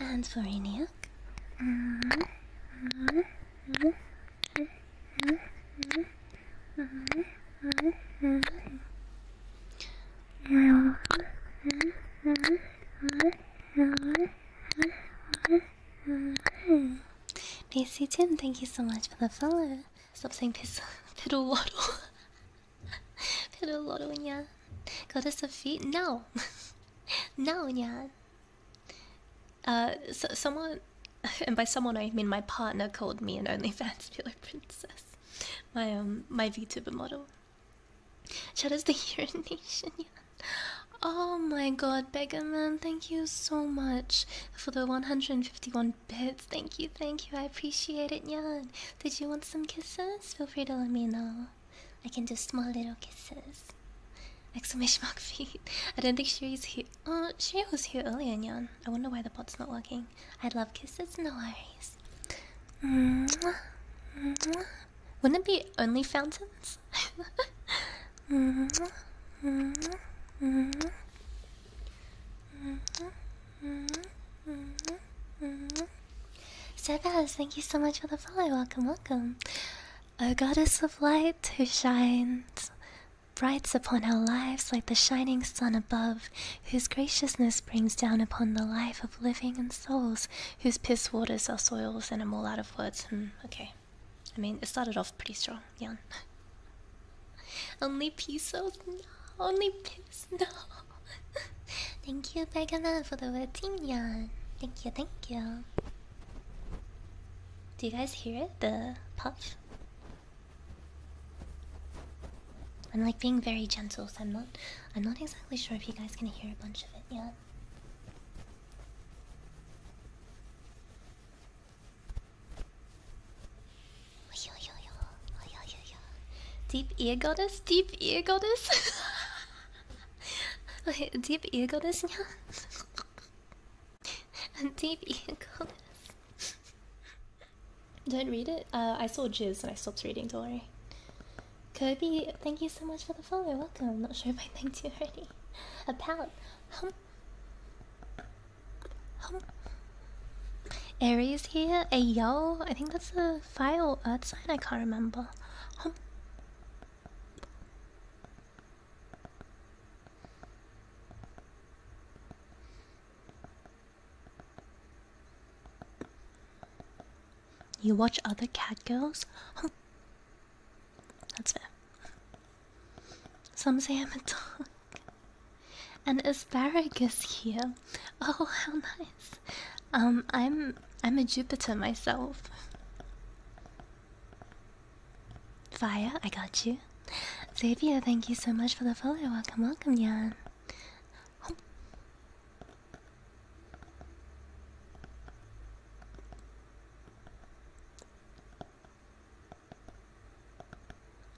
And for Inia, Pacey Tim, thank you so much for the follow. Stop saying piss. Piddle waddle. Piddle waddle, yeah. Goddess of feet? No. no, yeah. Uh, someone, and by someone I mean my partner, called me an OnlyFans pillow princess. My um, my VTuber model. Shadows the urination. Yeah. Oh my god, man! thank you so much for the 151 bits. Thank you, thank you. I appreciate it, Nyan. Did you want some kisses? Feel free to let me know. I can do small little kisses. like Exclamation mark feet. I don't think she Shiri's here. Oh, she was here earlier, Nyan. I wonder why the bot's not working. I love kisses, no worries. Wouldn't it be only fountains? Sebas, thank you so much for the follow. Welcome, welcome. O goddess of light who shines brights upon our lives like the shining sun above, whose graciousness brings down upon the life of living and souls, whose piss waters are soils, and I'm all out of words. Hmm, okay. I mean, it started off pretty strong. Yeah. Only piece of Only piss, no. Thank you, Bergana, for the Latinian. Thank you, thank you. Do you guys hear The puff? I'm like being very gentle, so I'm not I'm not exactly sure if you guys can hear a bunch of it yet. Deep ear goddess? Deep ear goddess? Deep ego this yeah. Deep ego this. Don't read it. Uh, I saw jizz and I stopped reading. Don't worry. Kobe, thank you so much for the follow. Welcome. I'm not sure if I thanked you already. A palette. Hum. Hum. Aries here. Ayo. I think that's a file art uh, sign. I can't remember. Hum. You watch other cat girls? That's fair. Some say I'm a dog. An asparagus here. Oh, how nice. Um, I'm I'm a Jupiter myself. Fire, I got you. Xavier, thank you so much for the follow. Welcome, welcome, Yan.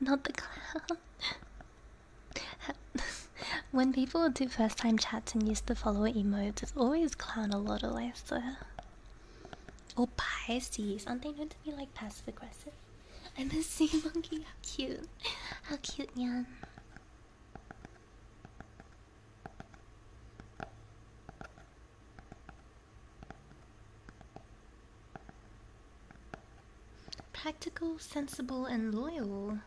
Not the clown. when people do first time chats and use the follower emotes, it's always clown a lot of laughter. Or Pisces, aren't they known to be like passive aggressive? I'm a sea monkey, how cute. How cute, Yan. Practical, sensible, and loyal.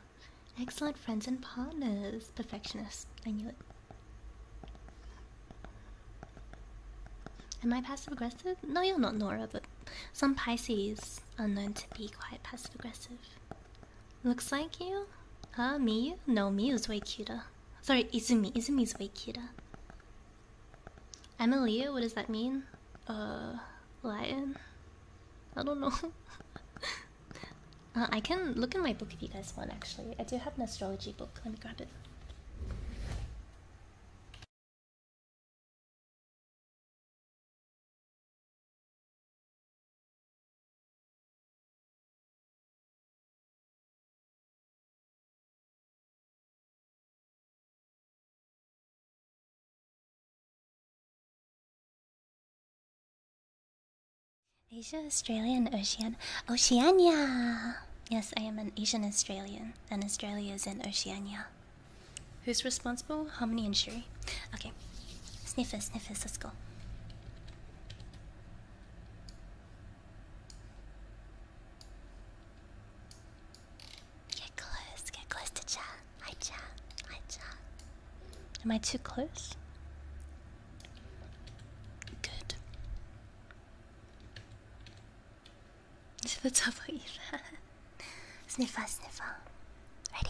Excellent friends and partners. Perfectionist. I knew it. Am I passive aggressive? No, you're not, Nora, but some Pisces are known to be quite passive aggressive. Looks like you? Huh, Miyu? No, me Miyu's way cuter. Sorry, Izumi. Izumi's way cuter. i what does that mean? Uh, lion? I don't know. Uh, I can look in my book if you guys want, actually. I do have an astrology book. Let me grab it. Asia, Australia, and Ocean Oceania. Yes, I am an Asian Australian, and Australia is in Oceania. Who's responsible? Harmony and Shuri. Okay. Sniffers, sniffers, let's go. Get close, get close to Cha. Hi Cha, hi Cha. Am I too close? Good. To the top either. sniffer, sniffer. Ready?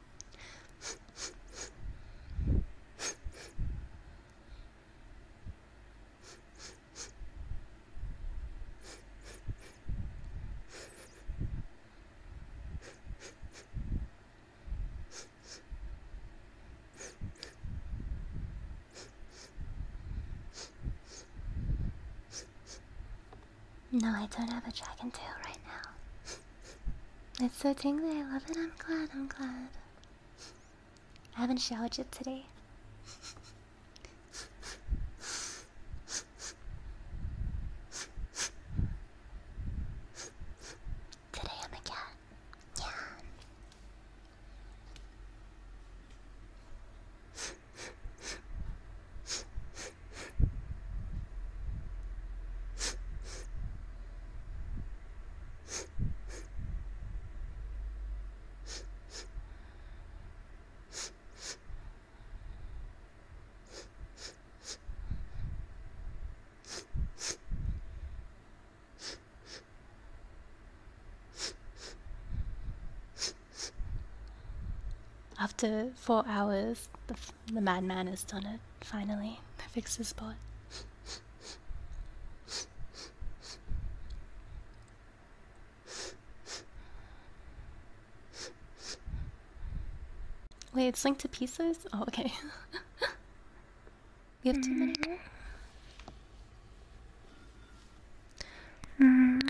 No, I don't have a dragon tail right now. It's so tangly. I love it. I'm glad, I'm glad. I haven't showered yet today. Today I'm a cat. Yeah. After four hours, the madman has done it, finally. I fixed his spot. Wait, it's linked to pieces? Oh, okay. we have too many mm-hmm.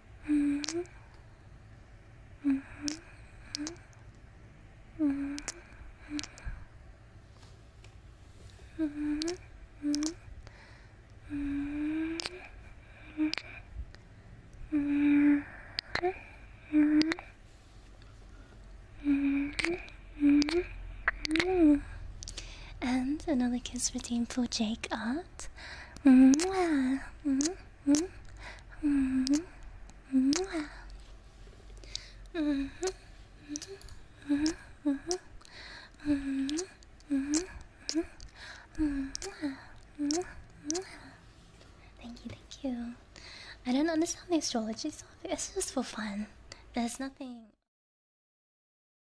Mm-hmm. Mm-hmm. Mm-hmm. Mm-hmm. Mm-hmm. Mm-hmm. Mm-hmm. And another kiss for Team Jake Art. Thank you, thank you. I don't understand the astrology, so it's just for fun. There's nothing.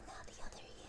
but now the other ear.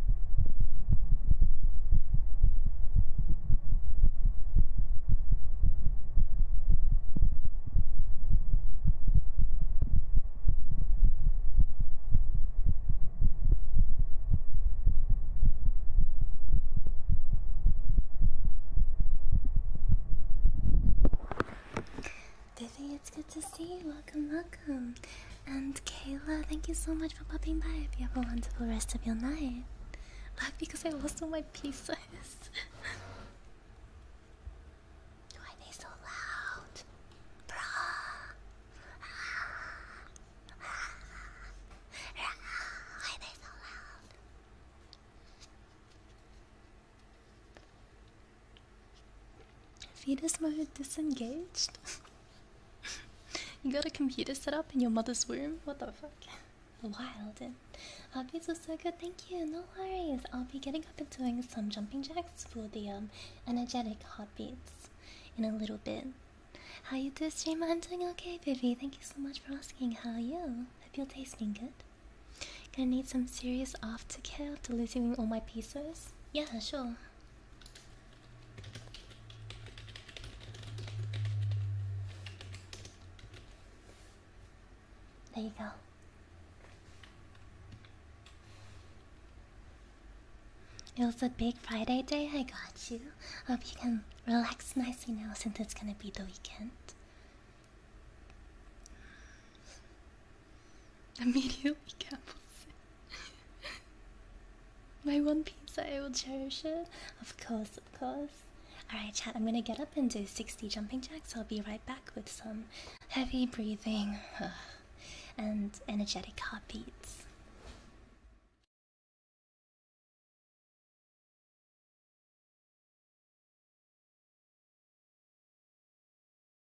Vivi, it's good to see you welcome, welcome. And Kayla, thank you so much for popping by. have a wonderful rest of your night. Laugh because I lost all my pieces. Why are they so loud? Why are they so loud? Fetus mode disengaged. you got a computer set up in your mother's room? What the fuck? Wild. Our beats are so good, thank you. No worries. I'll be getting up and doing some jumping jacks for the um, energetic heartbeats in a little bit. How you doing, streamer? I'm doing okay, baby. Thank you so much for asking. How are you? Hope you're tasting good. Gonna need some serious aftercare after losing all my pieces. Yeah, sure. There you go. It was a big Friday day, I got you. Hope you can relax nicely now since it's gonna be the weekend. Immediately My one pizza, I will cherish it. Of course, of course. Alright, chat, I'm gonna get up and do 60 jumping jacks. I'll be right back with some heavy breathing and energetic heartbeats.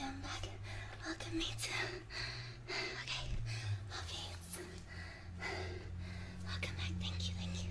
And back, look at me too. Okay, okay, it's... Welcome back, thank you, thank you.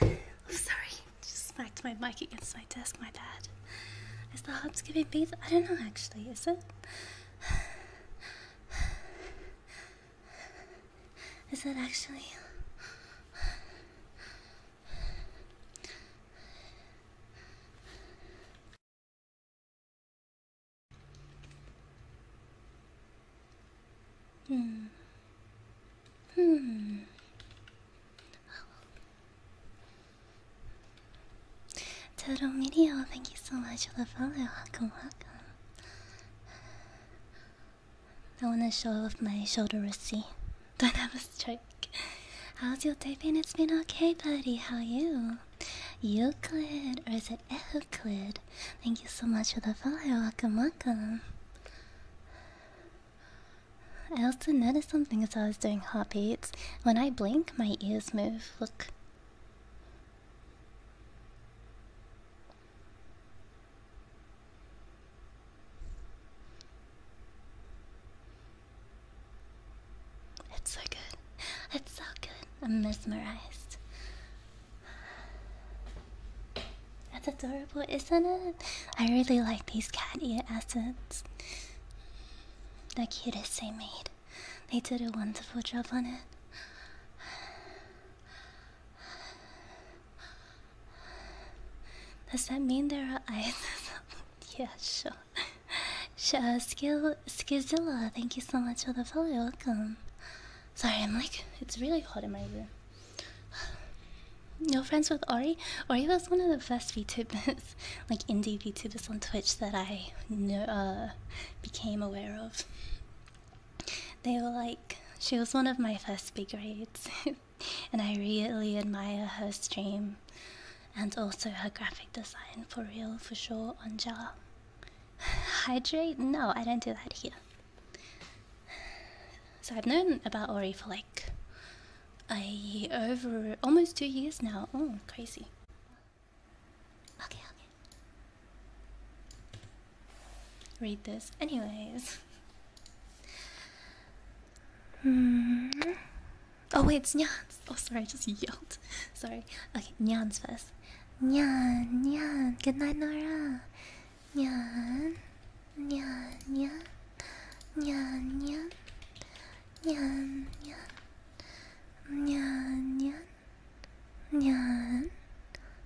i oh, sorry. Just smacked my mic against my desk, my bad. Is the hub's giving me? I don't know actually, is it? Is it actually? Hmm. Hmm. Total Media, thank you so much for the follow. Welcome, welcome. I want to show off my shoulder rusty. Don't have a stroke. How's your day been? It's been okay, buddy. How are you? Euclid, or is it Euclid? Thank you so much for the follow. Welcome, welcome. I also noticed something as I was doing heartbeats. When I blink, my ears move. Look. It's so good. It's so good. I'm mesmerized. That's adorable, isn't it? I really like these cat ear assets. The cutest they made. They did a wonderful job on it. Does that mean there are eyes? yeah, sure. Sh skill, Skizilla, thank you so much for the follow. Welcome. Sorry, I'm like, it's really hot in my room. No friends with Ori? Ori was one of the first VTubers, like indie VTubers on Twitch that I uh, became aware of. They were like, she was one of my first big raids. and I really admire her stream and also her graphic design for real, for sure, on Jar. Hydrate? No, I don't do that here. So I've known about Ori for like a over almost two years now. Oh, crazy. Okay, okay. Read this, anyways. Hmm. Oh wait, it's Nyan's. Oh sorry, I just yelled. sorry. Okay, Nyan's first. Nyan, Nyan. Good night, Nora. Nyan, Nyan, Nyan, Nyan, Nyan, Nyan, Nyan, Nyan, Nyan, Nyan,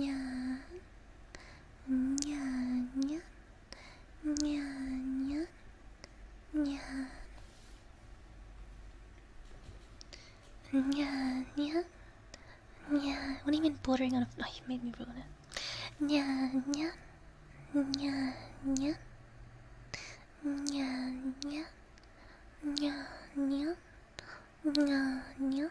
Nya, nya, nya, nya, nya, nya, nya, nya, nya. What do you mean bordering on a? Oh, you made me ruin it. Nya, nya, nya, nya, nya, nya, nya, nya, nya, nya.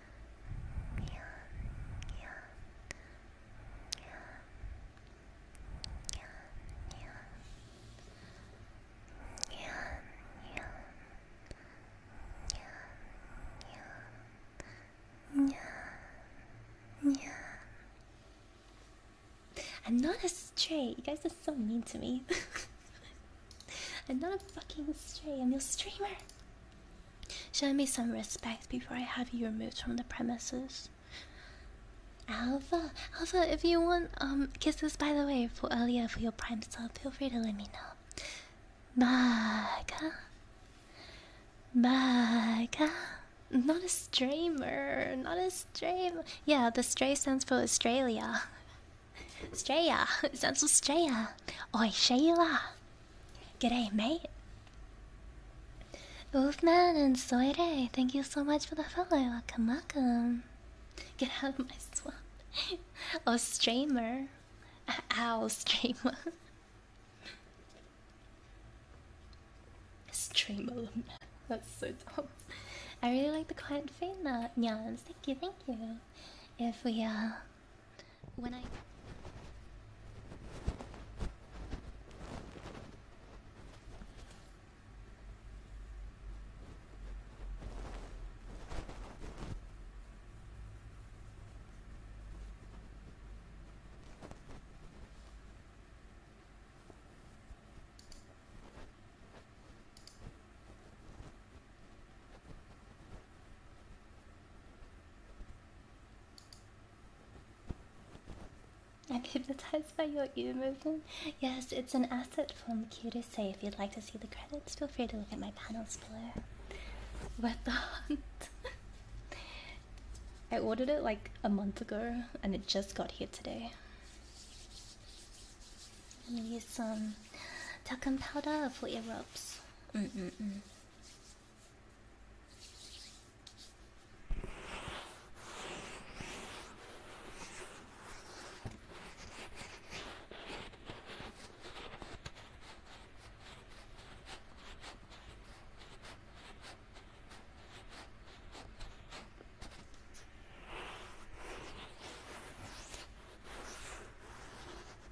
I'm not a stray. You guys are so mean to me. I'm not a fucking stray, I'm your streamer. Show me some respect before I have you removed from the premises. Alpha, Alpha, if you want um kisses by the way for earlier for your prime star, feel free to let me know. Baga, Baga, not a streamer, not a streamer. Yeah, the stray stands for Australia. Straya, it sounds so Straya. Oi, Shayla. G'day, mate. Both Wolfman and soiree. thank you so much for the follow. Welcome, welcome. Get out of my swamp. oh, streamer. Ow, streamer. Streamer. That's so dumb. I really like the quiet fade now. Nyans, thank you, thank you. If we, are. Uh, when I I'm hypnotized by your ear movement. Yes, it's an asset from Q to say. If you'd like to see the credits, feel free to look at my panels below. What the I ordered it like a month ago and it just got here today. I'm gonna use some talcum powder for your robes.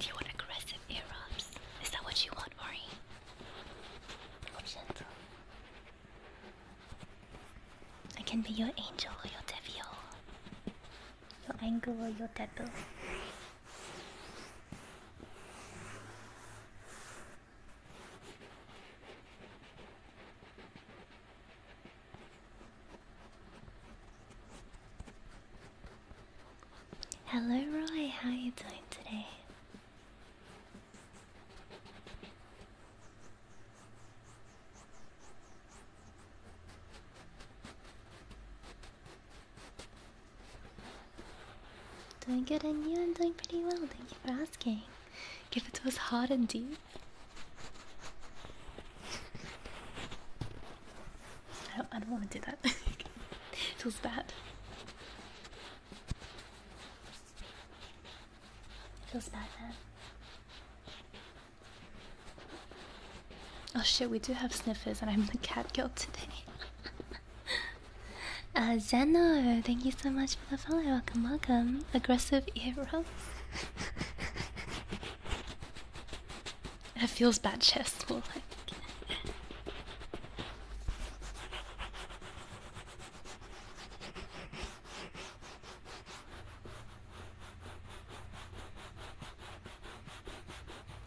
Do you want aggressive ear rubs? Is that what you want, Mari? Or gentle? I can be your angel or your devil. Your angel or your devil. Hello, Roy. How are you doing today? Doing good, and you? I'm doing pretty well. Thank you for asking. Give it was hot and deep. I don't, want to do that. it feels bad. It feels bad, man. Oh shit, we do have sniffers, and I'm the cat girl today. uh, Zeno, thank you so much for the follow. Welcome, welcome. Aggressive ear rolls. It feels bad chest more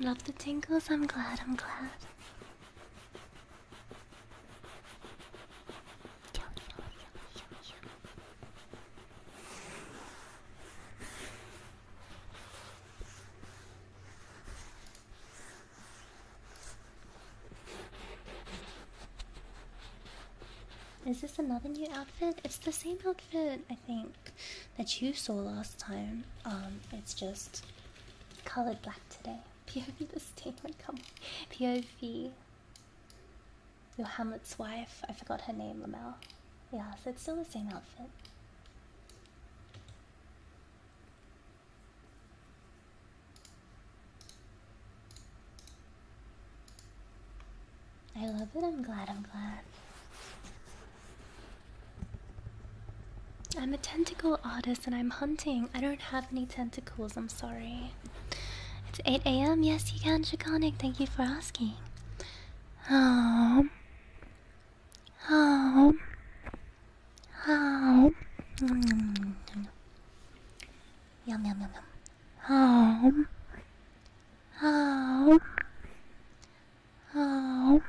Love the tingles, I'm glad, I'm glad. Is this another new outfit? It's the same outfit, I think, that you saw last time. Um, it's just colored black today. POV the statement, come on. POV. Your Hamlet's wife. I forgot her name, Lamel. Yeah, so it's still the same outfit. I love it. I'm glad. I'm glad. I'm a tentacle artist and I'm hunting. I don't have any tentacles. I'm sorry. It's 8 a.m. Yes, you can, Draconic. Thank you for asking. Um, how? How? Yum yum yum yum. How? How? How?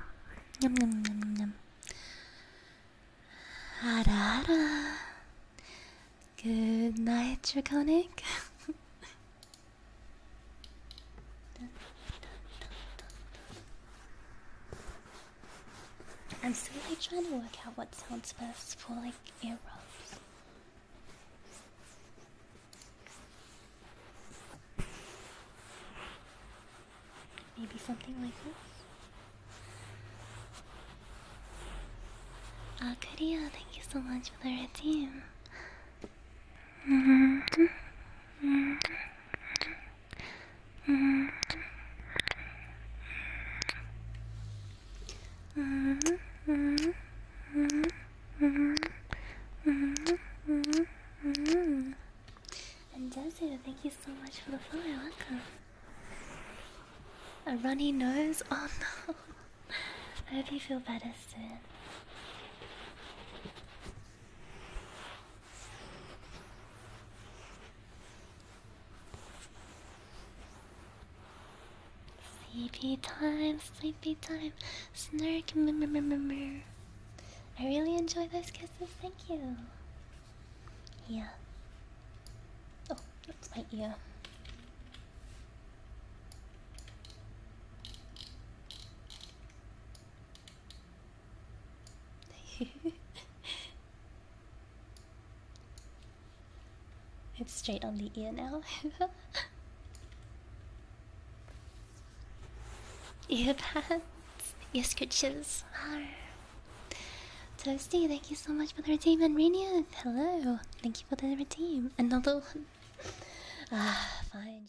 Yum yum yum yum. Ara Good night, Draconic. I'm still like trying to work out what sounds best for like earbuds. Maybe something like this. Ah, oh, Korea, thank you so much for the red and Desio, thank you so much for the follow. Welcome. A runny nose? Oh no. I hope you feel better soon. Sleepy time, sleepy time, snarky murmur. I really enjoy those kisses, thank you. Yeah. Oh, that's my ear. it's straight on the ear now. ear pads, ear scratches. Arr. Toasty, thank you so much for the redeem and Radiant. Hello, thank you for the redeem. Another one. Ah, fine.